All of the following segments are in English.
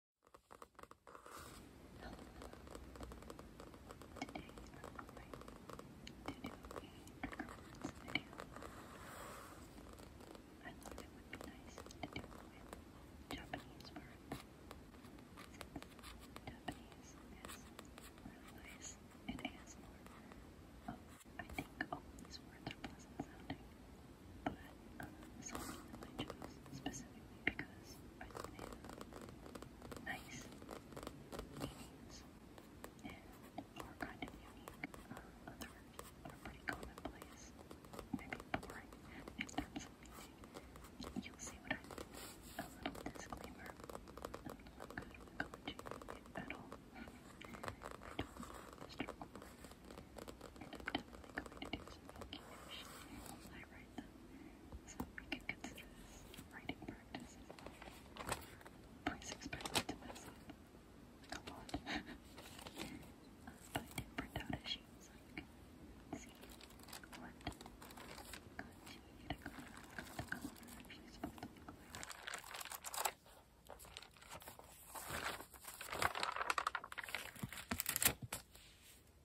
I thought it would be nice to do with Japanese art. Japanese is really nice and ASMR. Oh, I think all these words are pleasant sounding but something I chose specifically because I live nice meanings and are kind of unique. Uh, others pretty commonplace, maybe boring in You'll see what I mean. A little disclaimer. I'm not good with college I am going to do some calculation. I right? So we can consider this writing practice Please expect me to mess up. a lot. I did print out a sheet so you can see what continue to to look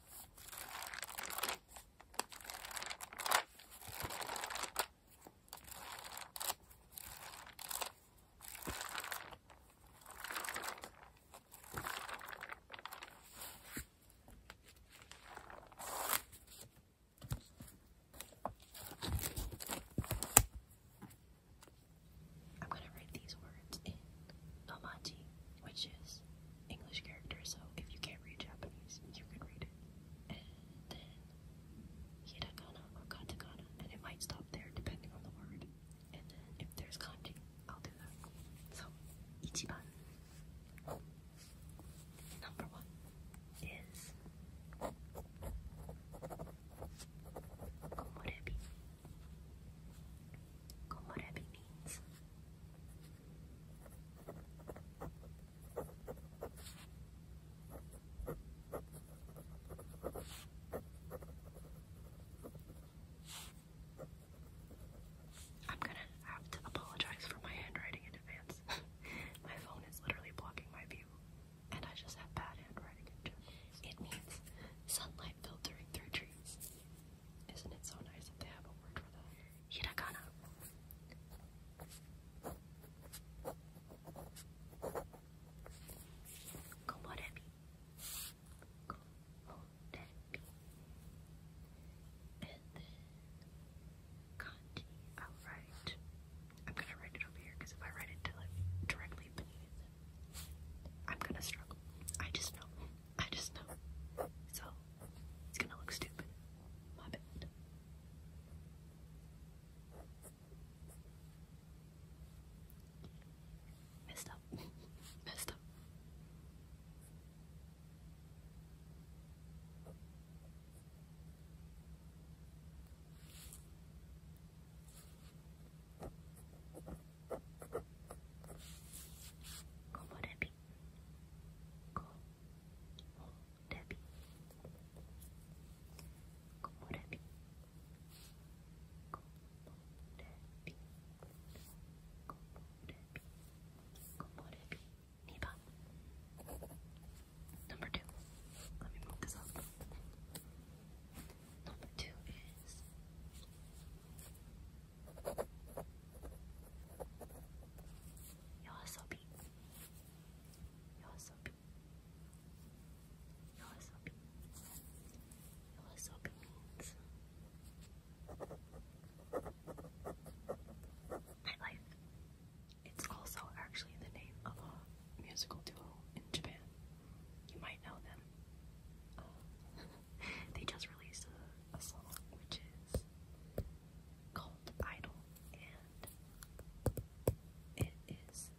I'm going to write these words in Omaji, which is English characters, so if you can't read Japanese, you can read it. And then hiragana or katakana, and it might stop there depending on the word. And then if there's kanji, I'll do that. So, ichiban. Number one is komorebi como Rebbe means. I'm gonna have to apologize for my handwriting in advance. my phone is literally blocking my view, and I just have bad handwriting It means sunlight filtering through trees. Isn't it so nice that they have a word for that? Hiragana. Komorebi. Komorebi. And kanji. i I'm gonna write it over here because if I write it directly beneath it, I'm gonna struggle. I just know. I just know. So it's gonna look stupid. My bad. Messed up. Messed up. こぼれびこぼれびこぼれびこぼれびこぼれびこぼれび2番 Number two. Let me move this up. Number two is Yoasobi. Yoasobi. Yoasobi. Yoasobi means nightlife. It's also actually the name of a musical duo in Japan. You might know them. Uh, they just released a, song which is called Idol, and it is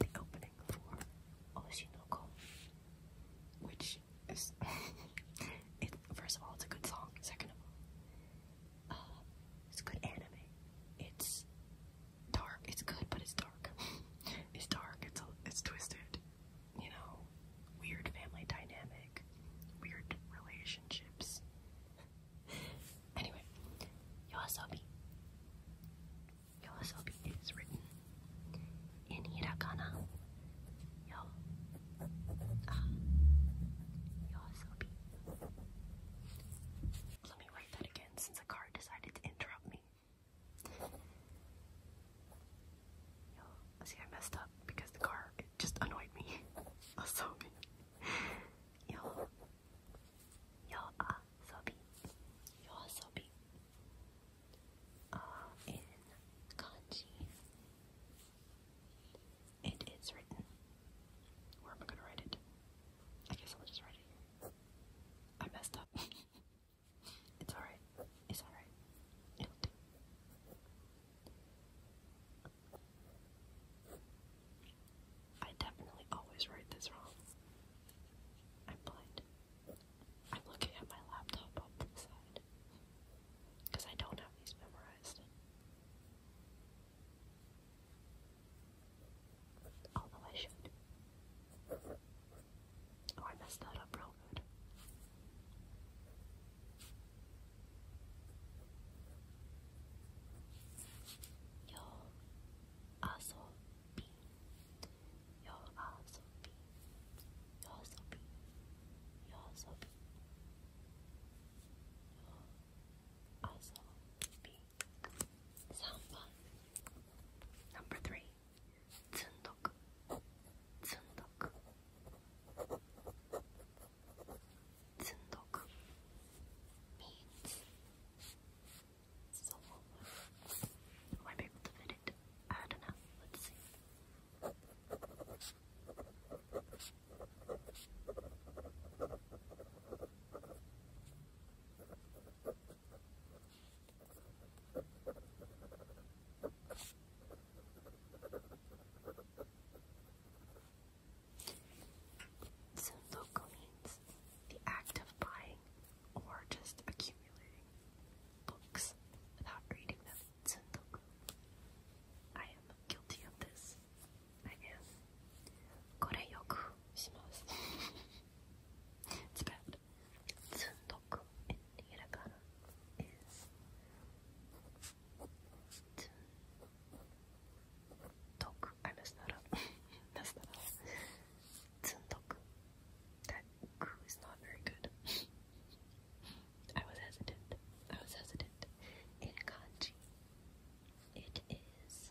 the opening for Oshinoko, which is, it, first of all, it's a good song, second of all, uh, it's good anime, it's dark, it's good, but it's dark, it's dark, it's, it's twisted, you know, weird family dynamic, weird relationships. anyway, Yoasobi. Yoasobi is written in hiragana. Yo. Ah. Yoasobi. Let me write that again since a car decided to interrupt me. Yeah. See, I messed up because the car it just annoyed me. oh, Yo. Yo, ah, Yo, so be. Uh, in kanji, it is written. Where am I gonna write it? I guess I'll just write it here. I messed up. it's alright. It's alright. It'll do. I definitely always write this wrong. I'm blind. I'm looking at my laptop off to the side. Because I don't have these memorized. Although I should. Oh, I messed that up real good. よあそびよあそびよあそびよあそびよあそび3番 Number 3つんどく積んどく積んどく means so might be able to fit it I don't know let's see So local means the act of buying or just accumulating books without reading them. I am guilty of this. I am. Kore yoku shimasu. It's bad. Tsundoku in hiragana is Tuntoku. I messed that up. messed up. Tuntoku. That ku is not very good. I was hesitant. I was hesitant. In kanji, it is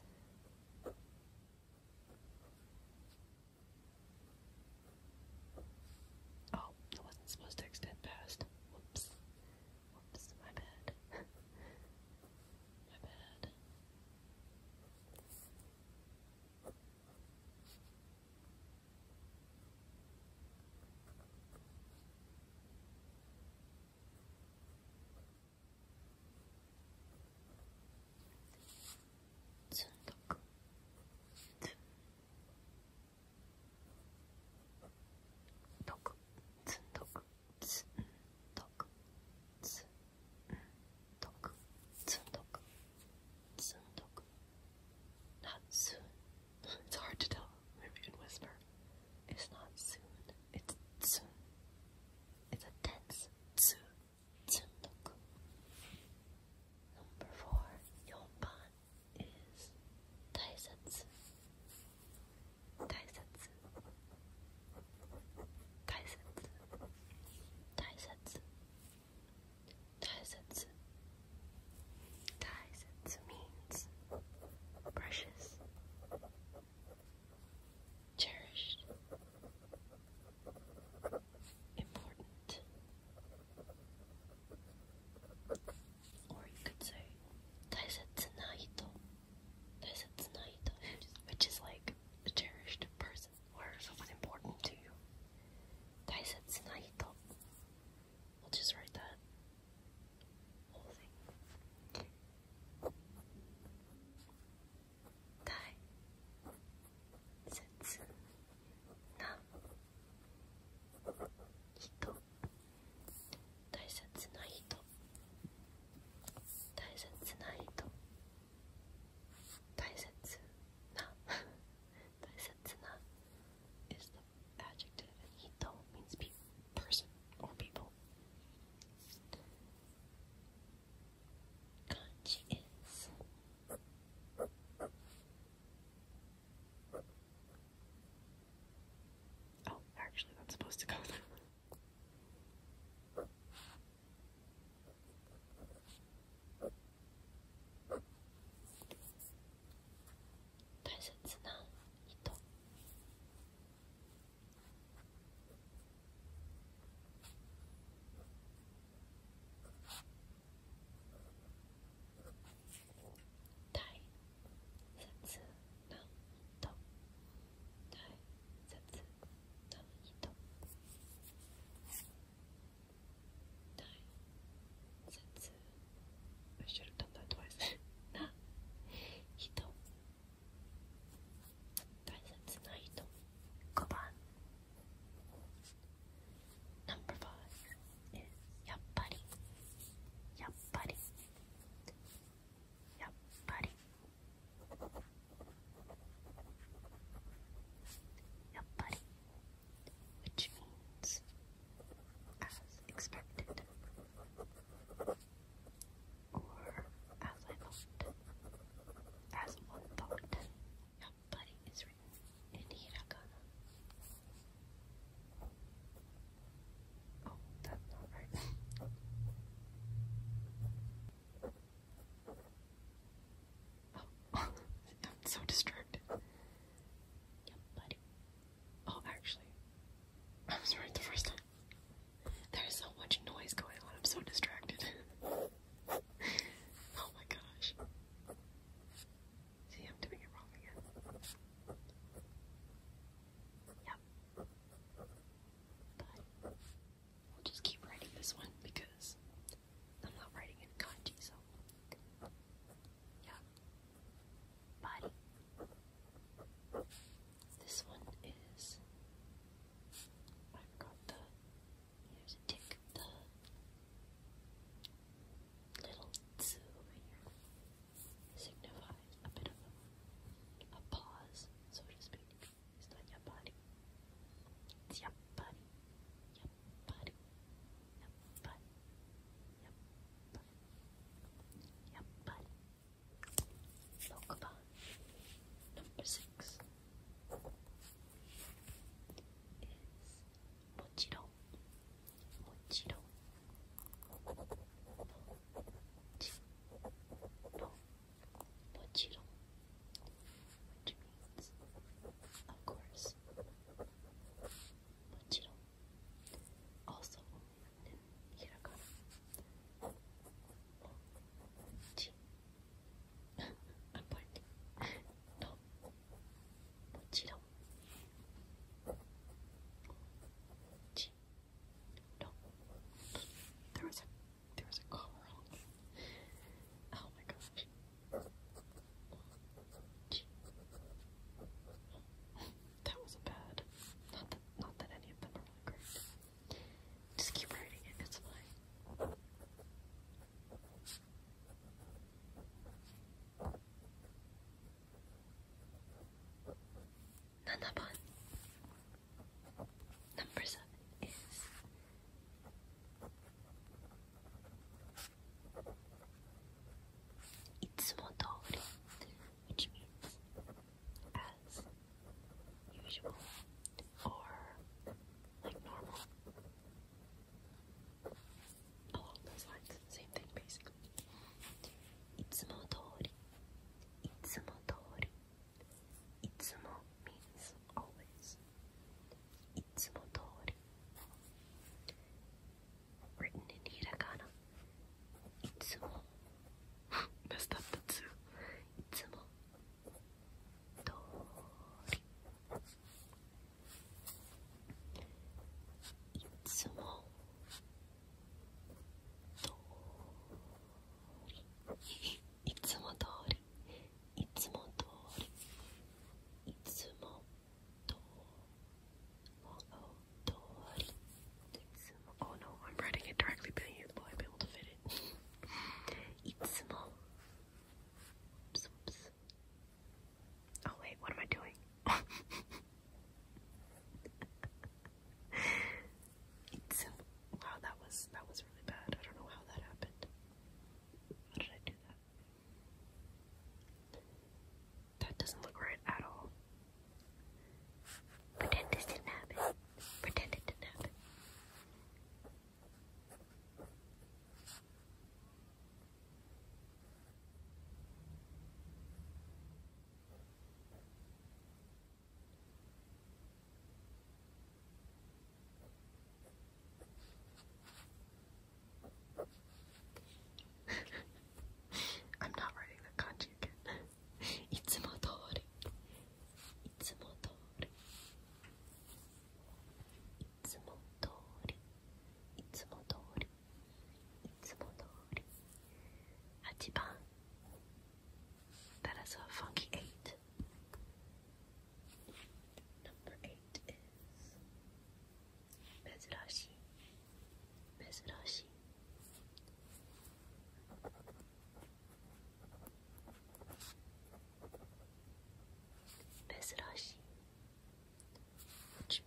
Oh, I wasn't supposed to extend past. Whoops. Whoops, my bad. my bad. 중독 not soon. It's hard to tell. Maybe you can whisper. It's not soon. It's soon. It's a tense tsu. Tsundoku. Number four, Yonban is means precious, cherished, important, or you could say Taisetsunaito. Taisetsunaito, which is like a cherished person or someone important to you. Taisetsunaito. We'll just write that whole thing. 大切な人大切な人大切な the adjective and hito means pe person or people. Kanji is Oh, actually, not supposed to go there. 大切な人大切な人大切 I should have done that twice な人大切な人5番 Number five やっぱりやっぱりやっぱりやっぱり which means as expected or as I thought as one thought やっぱり is written in hiragana Oh, that's not right. Oh, I'm so distracted. Yep, buddy. Oh, actually, I was right the first time. There's so much noise going on, I'm so distracted. oh my gosh. See, I'm doing it wrong again. Yep. But we'll just keep writing this one because I'm not writing in kanji, so. Yeah. Body. This one is. I forgot the. Here's a tick. The little two here signifies a bit of a, pause, so to speak. Está yapari. It's yapari. Yapari. Yapari. Yapari. Yapari. Lokaban. Number six is もう一度もちろん which means of course もちろん also in hiragana もち I'm pointing のもちろんち No. There was a there was a call Oh my gosh. That was bad. Not that not that any of them are really great. Just keep writing it, it's fine. 7番 number 7 is itsumotori which means as usual or like normal along those lines. Same thing, basically. Itsumo tori. Itsumo tori. Itsumo means always. Itsumo tori. Written in hiragana. Itsumo. Messed up the two. Itsumo. Tori. Itsumo. Oh no, I'm writing it directly behind you, but I'll be able to fit it. いつも Oops, oops. Oh wait, what am I doing? Um, wow, that was that was really bad. I don't know how that happened. How did I do that? That doesn't look right at all. Pretend this didn't happen. Pretend it didn't happen. I'm not writing the kanji again. Itsumotori. つも通り8番 That is funky 8 Number 8 is 珍しい珍しい Bezrashi, which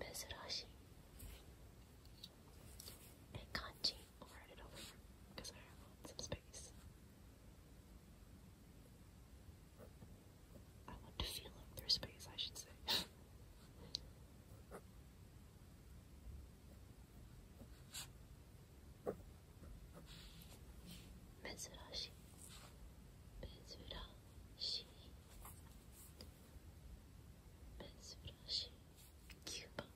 Mizurashi. And kanji. I'll write it over because I want some space. I want to feel like there's space, I should say. 珍しい珍しい珍しい9番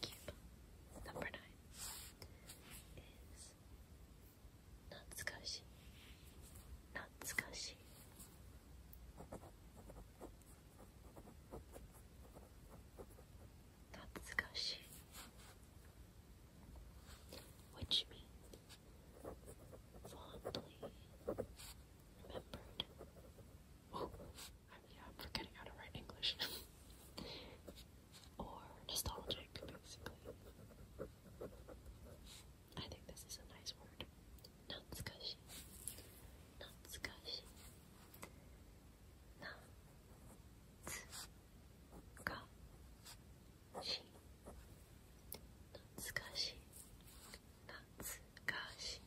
9番 number 9 is 懐かしい懐かしい懐 Tatsukashi, which means fondly remembered. Oh, I am forgetting how to write English. or nostalgic, basically. I think this is a nice word. Natsukashi. Natsukashi. Natsukashi. かし懐かしい懐かしい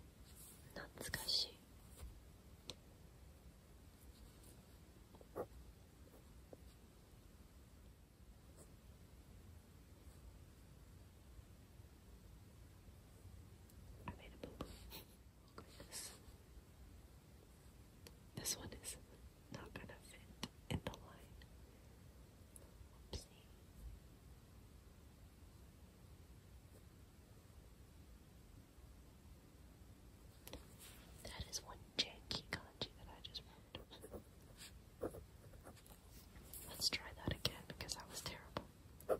懐かしい this. one is not gonna fit in the line. That is one janky kanji that I just wrote. Let's try that again because that was terrible.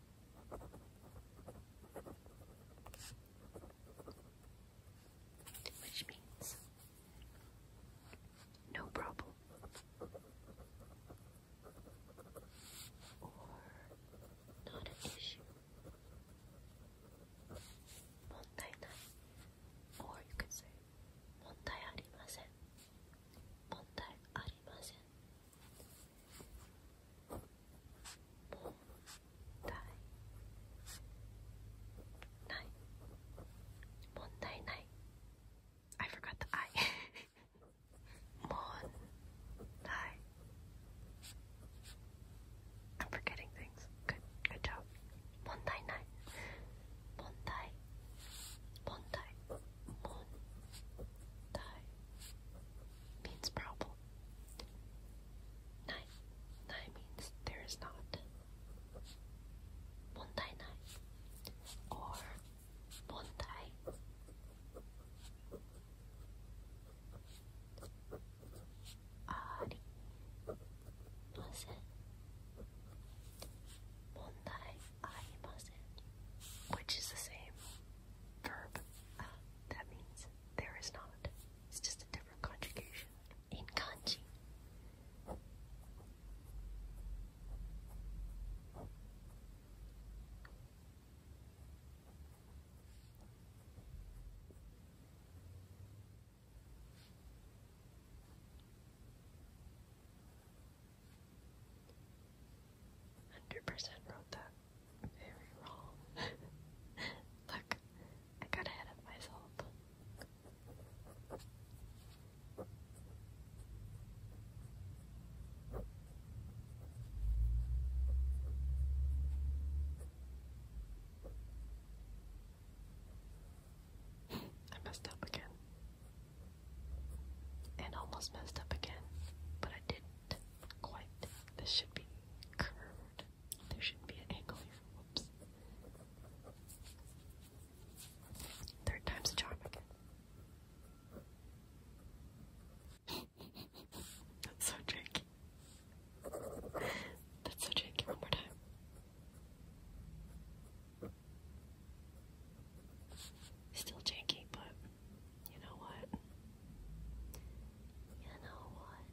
Which means no problem or not an issue. Montai or you could say montai arimasen. ない問題ない I forgot the I 問題 I'm forgetting things good, good job 問題ない問題問題問題 means problem ないない means there is not 問題ない or 問題ありません問題ありません which is the same verb. that means there is not. It's just a different conjugation in kanji. Hundred percent wrote that very wrong. Look, I got ahead of myself. I messed up again. And almost messed up again, but I didn't quite. This should be curved. There should not be an angle here. Whoops. Third time's a charm again. That's so tricky. That's so tricky. One more time. Still janky, but you know what? You know what?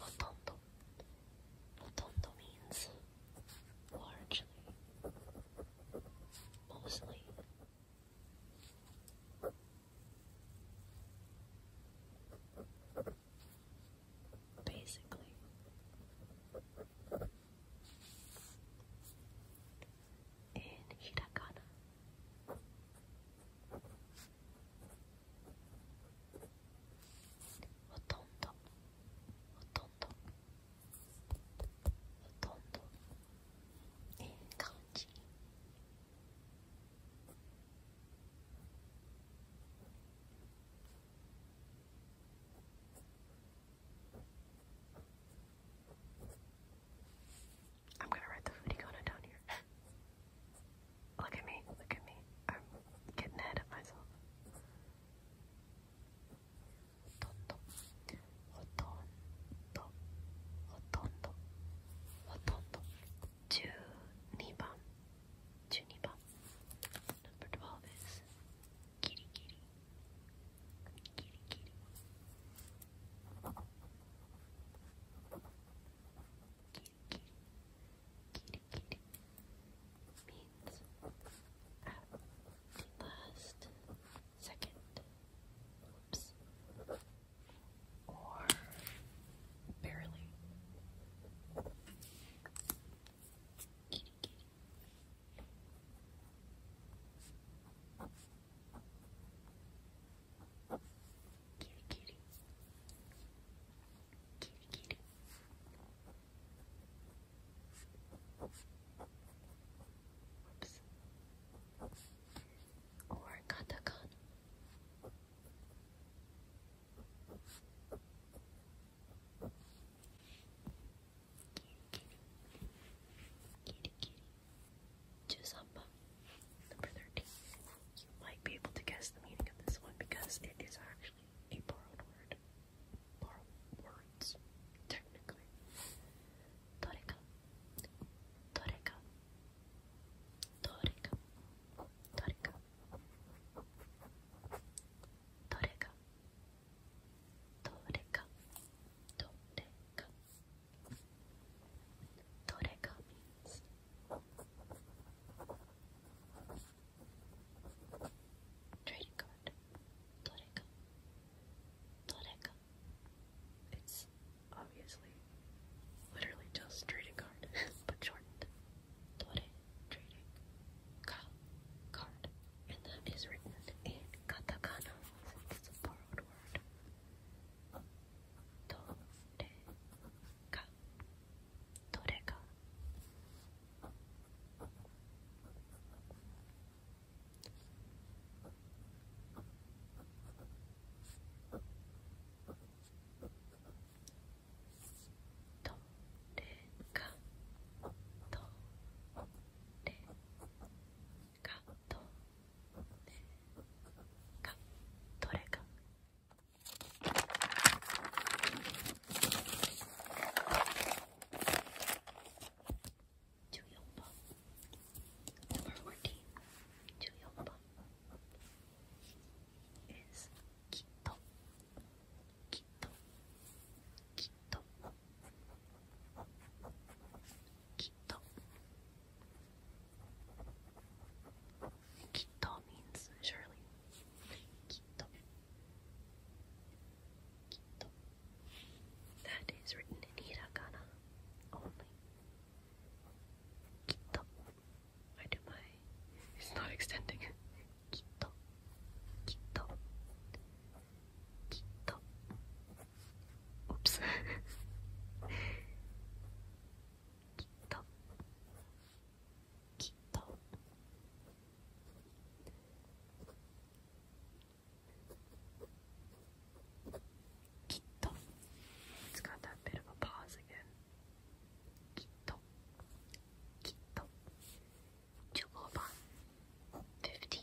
Rotondo. means largely, mostly. Basically, in Hiragana, ほとんどほとんどほとんどいえ感じ I'm gonna write the foodie corner down here. look at me, look at me. I'm getting ahead of myself. Rotondo, rotondo, 12 is kitty kitty kitty, kitty. Kitty, kitty. Kitty, kitty. Means at last second. Oops. Or barely. Kitty, kitty. Kitty, kitty. Kitty, kitty. Oops. Or katakana. Kitty, kitty. Juzamba. Number 13. You might be able to guess the meaning of this one because it is actually a borrowed word. Borrowed words, technically. Toreka. Toreka. Toreka. Toreka. Toreka. Toreka. Toreka means trading card. Toreka. Toreka. It's obviously literally just trading card, but shortened. trading card. And that is written in katakana since it's a borrowed word. どれかどれかどれかどれかとかどれか14番 No.14 番 is きっときっときっとき Kito means surely. Kito. Kito. That is written in hiragana only. Kito. I do my. It's not extending Kito. Kito. Kito. Oops. きっときっときっと It's got that bit of a pause again. きっときっと15番15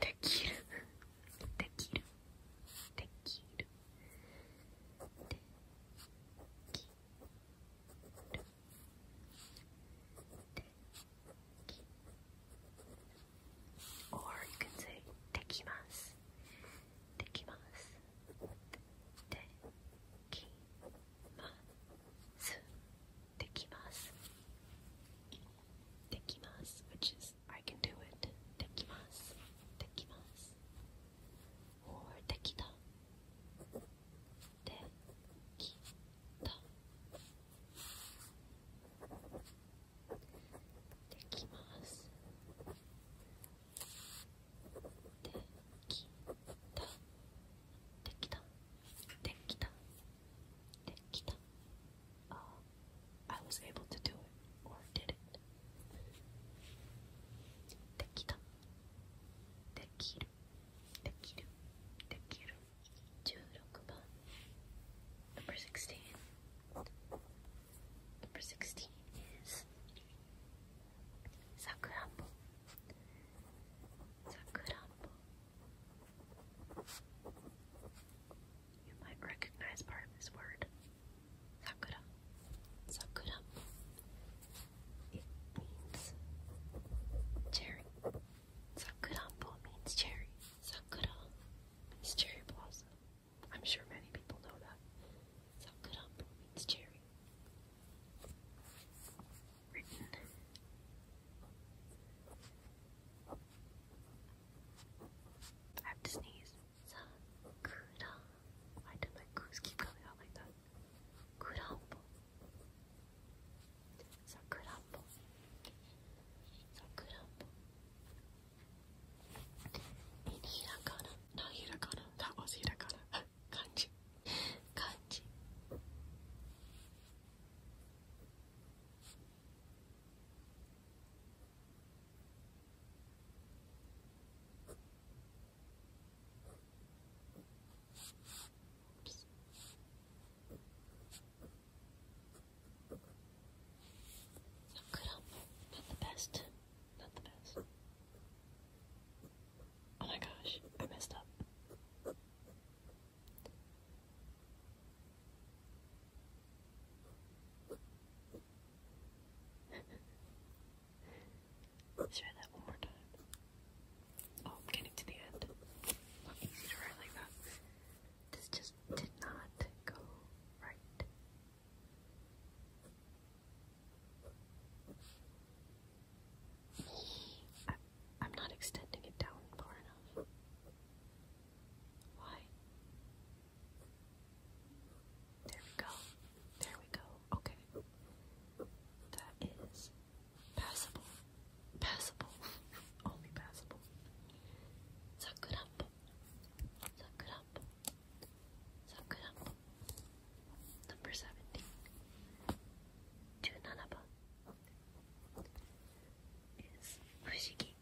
できるできるできるできるできる I can do it. できます。できます。Uh, I was able to do it, or did it. Dekita. Dekiru. Dekiru. Dekiru. 16番 Number 16 Number 16 is Sakurambo Sakurambo you might recognize part of this word. Sakura. Sakura. It means cherry. Sakurambo means cherry. Sakura means cherry blossom. I'm sure many people know that. Sakurambo means cherry. Written I have to sneeze. Sakura. Why did my goose keep coming out like that? Kurambo. Sakurambo. Sakurambo. In hiragana. No hiragana. That was hiragana. Kanji. Kanji. Not good, not the best, not the best. Oh my gosh, I messed up. Let's try that one more time. Oh, getting to the end. easy to write like that. This just did not go right. I'm not extending it down far enough. Why? There we go. There we go. Okay. That is passable. Passable. Only passable. Suck it up. Suck it up. Suck it up. Number 17. Junanaba is Fushigi 議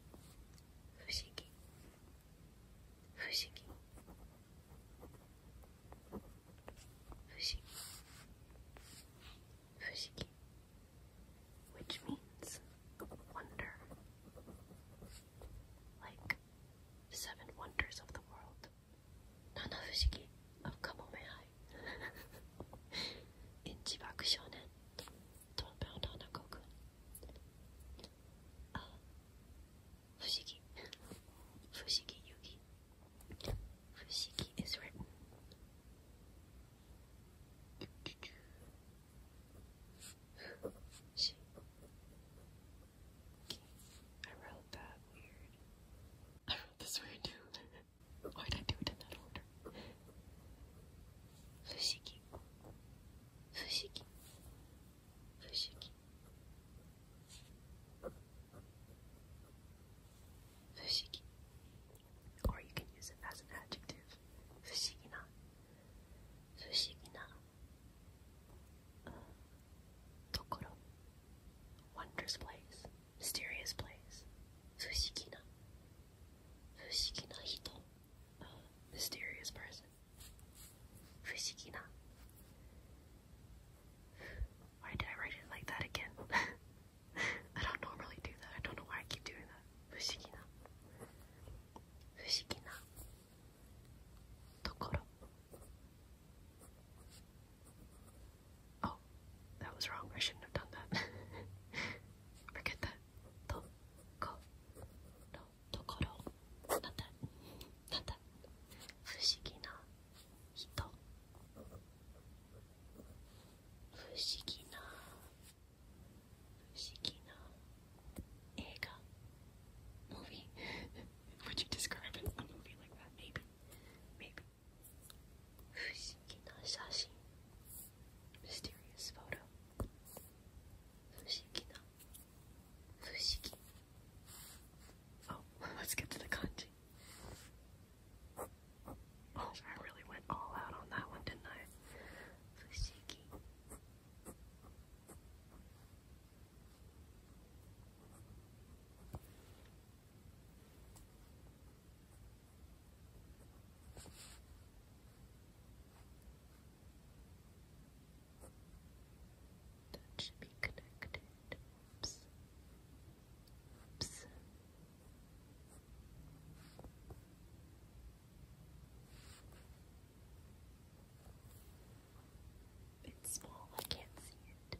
不思議不思議不思議不思議 which means wonder like seven wonders of the world Nana Fushiki of Kamomehai in Chibaku Shonen 12秒の中くんあ不思議不思議遊戯不思議 is written she okay. I wrote that weird I wrote this weird too why did I do it in that order 不思議不思議不思議不思議 or you can use it as an adjective 不思議な不思議なところ wondrous place mysterious place 不思議な不思議な人 mysterious person. Fushikina. Why did I write it like that again? I don't normally do that. I don't know why I keep doing that. Fushikina. Fushikina. Tokoro. Oh, that was wrong. I shouldn't have done that. Forget that. ところところなんだなんだ不思議な人不思議な不思議な映画 movie would you describe a movie like that maybe maybe 不思議な写真不 mysterious photo. Fushiki no. Fushiki. Oh, let's get to the kanji. Oh, I really went all out on that one, didn't I? Fushiki. That should be connected. Oops. Oops. It's small, I can't see it.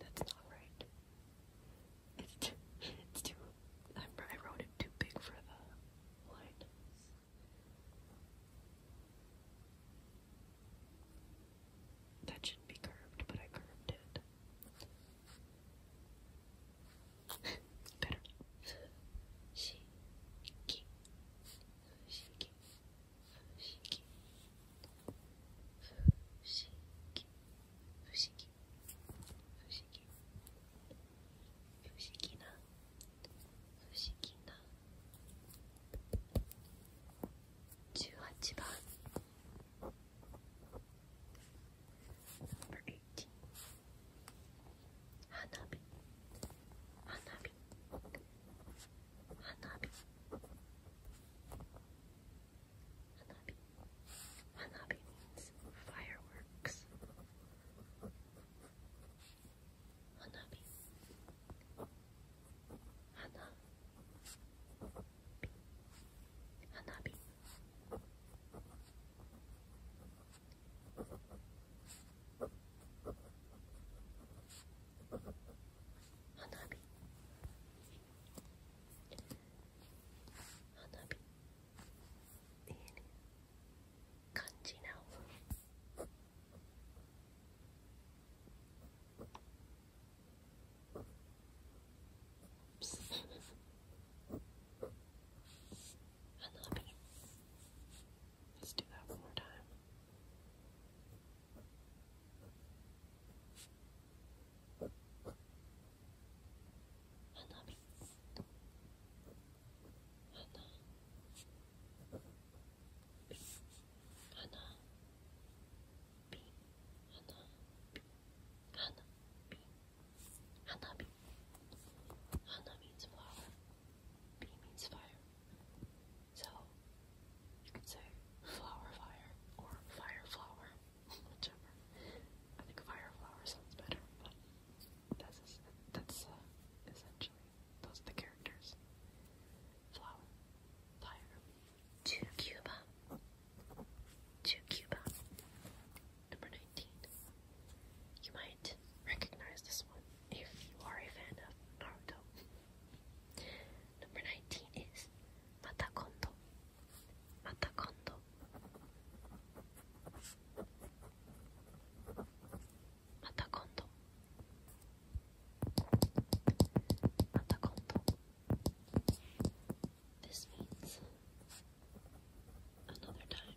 That's not right. It's too, it's too, I wrote it too big for the line. That shouldn't be curved, but I curved it. Better. 不思議不思議不思議な不思議な18番 Number 18花火花火花火花火 Hanabi. means fireworks. Hanabi. Hana. Hanabi. Hanabi. 花火っていう感じなの。Hanabi. Let's do that one more time. Hanabi. Hana means flower. B means fire. So you could say flower fire or fire flower whichever. I think Fireflower sounds better, but that's that's uh, essentially those are the characters. Flower, fire, to Cuba, to Cuba. Number nineteen. You might recognize this one if you are a fan of Naruto. Number nineteen is また今度また今度また今度また今度 means another time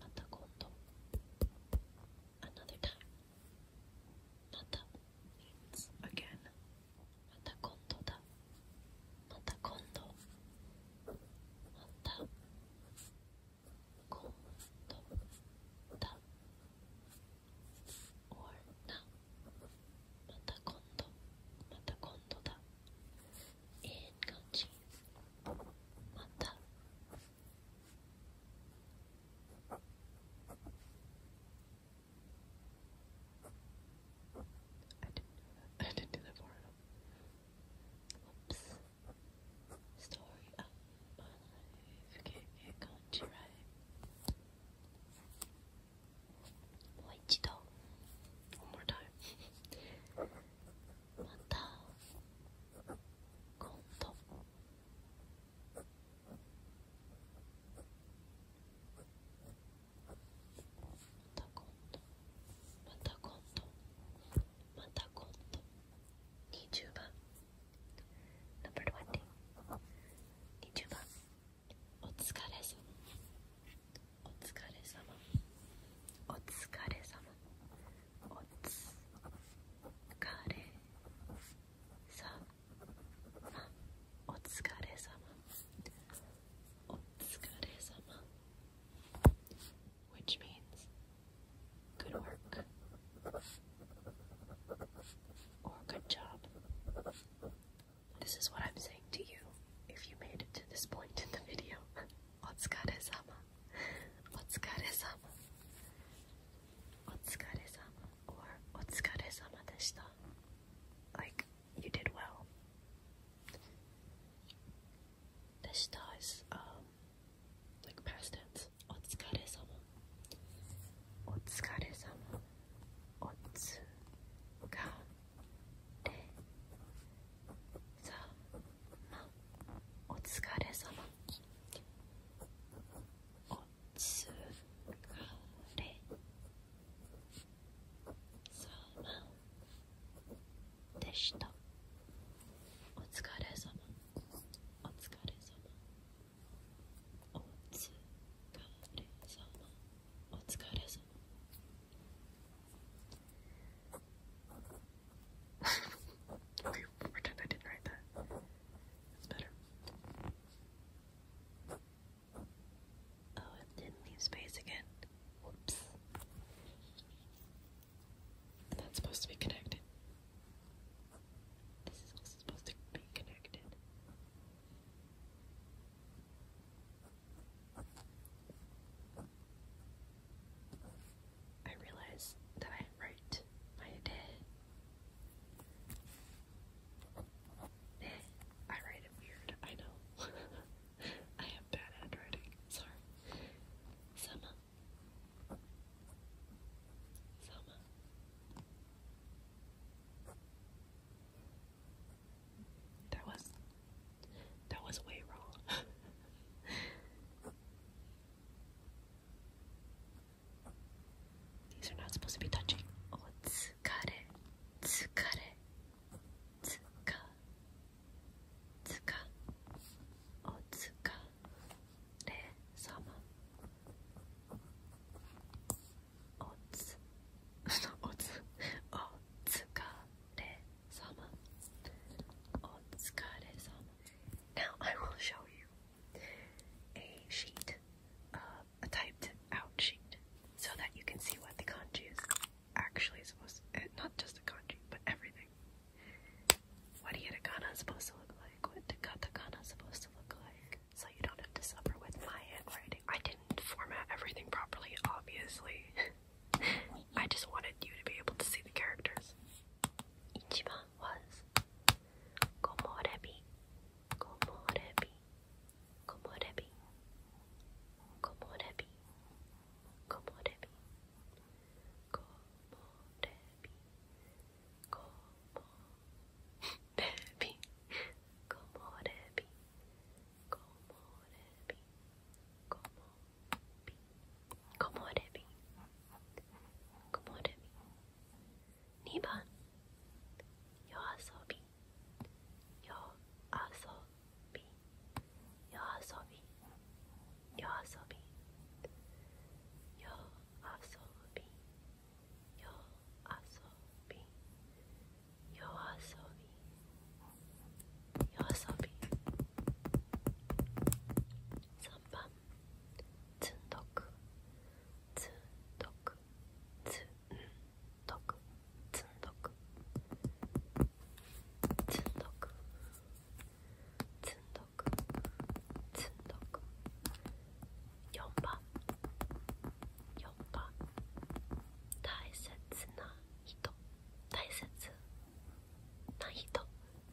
また今度 Another time また It's a g a i だまた今度まだ or なまた今度また今度だ I didn't do that. I did Story of my life. Okay, I got you right. One more time. また今度また今度また今度また今度20番ン o 2 0番お疲れ様お疲れ様お疲れ様 oats, which means good work or good job. This is what I'm saying to you if you made it to this point in the video. お疲れ様お疲れ様お疲れ様 or お疲れ様でした like you did well でした is um like past tense お疲れ様お疲れ様おつがれさまお疲れ様「おつかれさまでした」お疲れ様お疲れ様お疲れ様お疲れ様 okay, pretend I didn't write that. better. Oh, it didn't leave space again. Whoops. that's supposed to be connected. This is also supposed to be connected. I realized that I write my day. Eh, I write weird, I know. I have bad handwriting, sorry. Summer. Summer. That was that was way wrong. These are not supposed to be touching. Oh, tsukare, tsukare, tsuka, tsuka, oh, tsuka, sama, otsu, otsu, oh, tsuka, re, oh, oh, sama, otsukare, oh, sama. Now I will show you a sheet, uh, a typed out sheet, so that you can see what the kanji is actually supposed eh, not just the kanji, but everything. What hiragana is supposed to look like, what katakana is supposed to look like, so you don't have to suffer with my handwriting. I didn't format everything properly, obviously. I just wanted you to be able to see the characters. 1番 was Komorebi, Komorebi, Komorebi, Komorebi, Komorebi, Komorebi, Komorebi, Komorebi, Komorebi, Komorebi, Komorebi, Komorebi, 曇るみ2番夜遊び夜遊び夜遊び夜遊び夜遊び夜遊び夜遊び夜遊び3番つんどくつんどくつんどくつんどくつんどくつんどくつんどく4番4番大切な人大切な人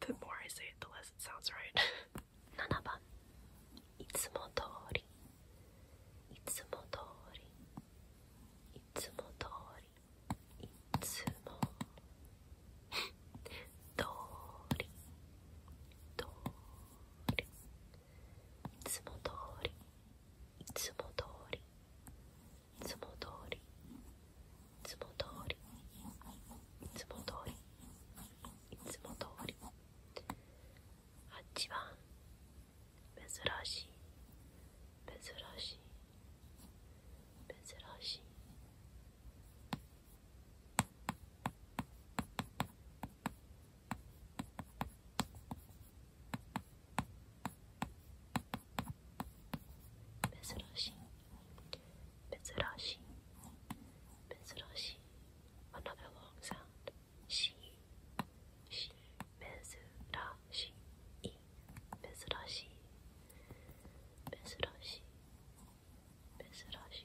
the more I say it, the less it sounds right. 7番いつも通りいつも通りいつも通りいつも通り通りいつも通りいつも通りいつも通りいいつも通りいつも通りいつも通り8番珍しい珍しい珍しい珍しい Mitsurashi, Mitsurashi, another long sound. Shi, Shi, Mitsurashi, I, Mitsurashi, Mitsurashi, Mitsurashi.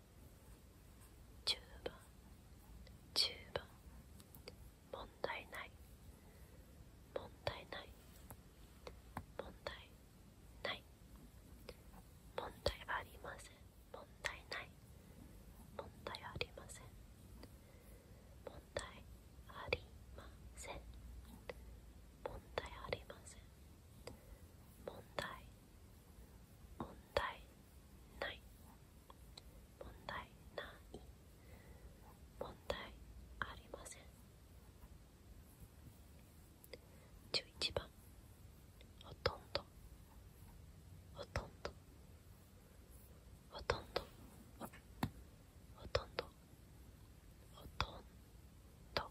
チュ10番10番問題ない問題ない問題ない問題はありません問題ない問題ありません問題ありません問題ありません問題問題ない問題ない問題ありません11番ほとんどほとんどほとんどほとんどほとんどほとんど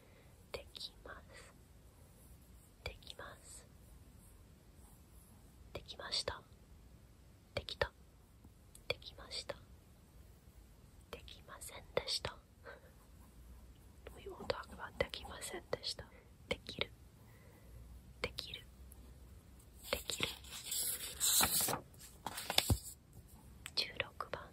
できますできますできましたできたできましたできませんでしたできませんでしたできるできるできる16番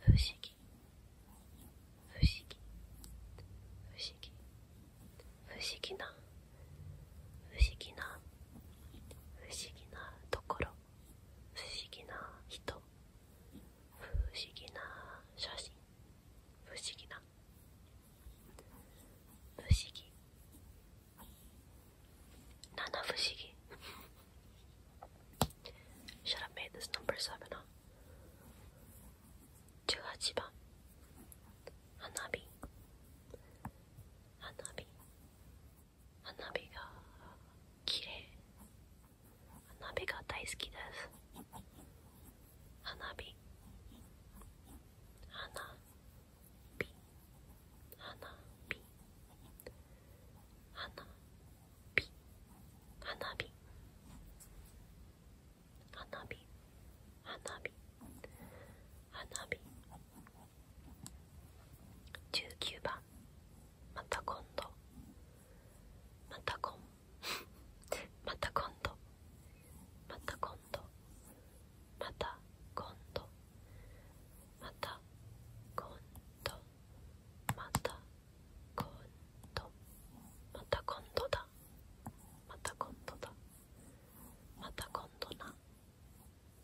不思議不思議不思議不思議な不思議な不思議なところ不思議な人不思議な写真不思議な不思議七不思議 should have made this number seven up 十八番花火花火花火が綺麗花火が大好きです花火花火花火花火花火花火花火花火19番また今度また今度。また今度 また今度また今度また今度また今度また今度だまた今度だまた今度な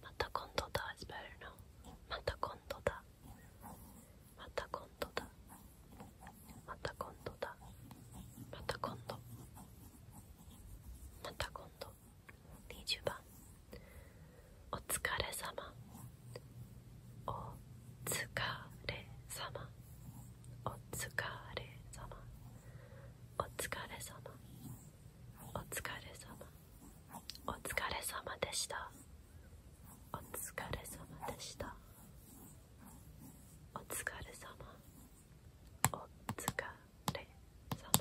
また今度だ is b e t また r now また今度だまた今度だまた今度だまた今度また今度20番お疲れ様お疲れ様お疲れ様お疲れ様お疲れ様お疲れ様でしたお疲れ様でしたお疲れ様お疲れ様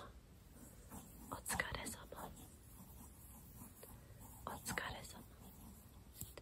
お疲れ様お疲れ様お疲れ様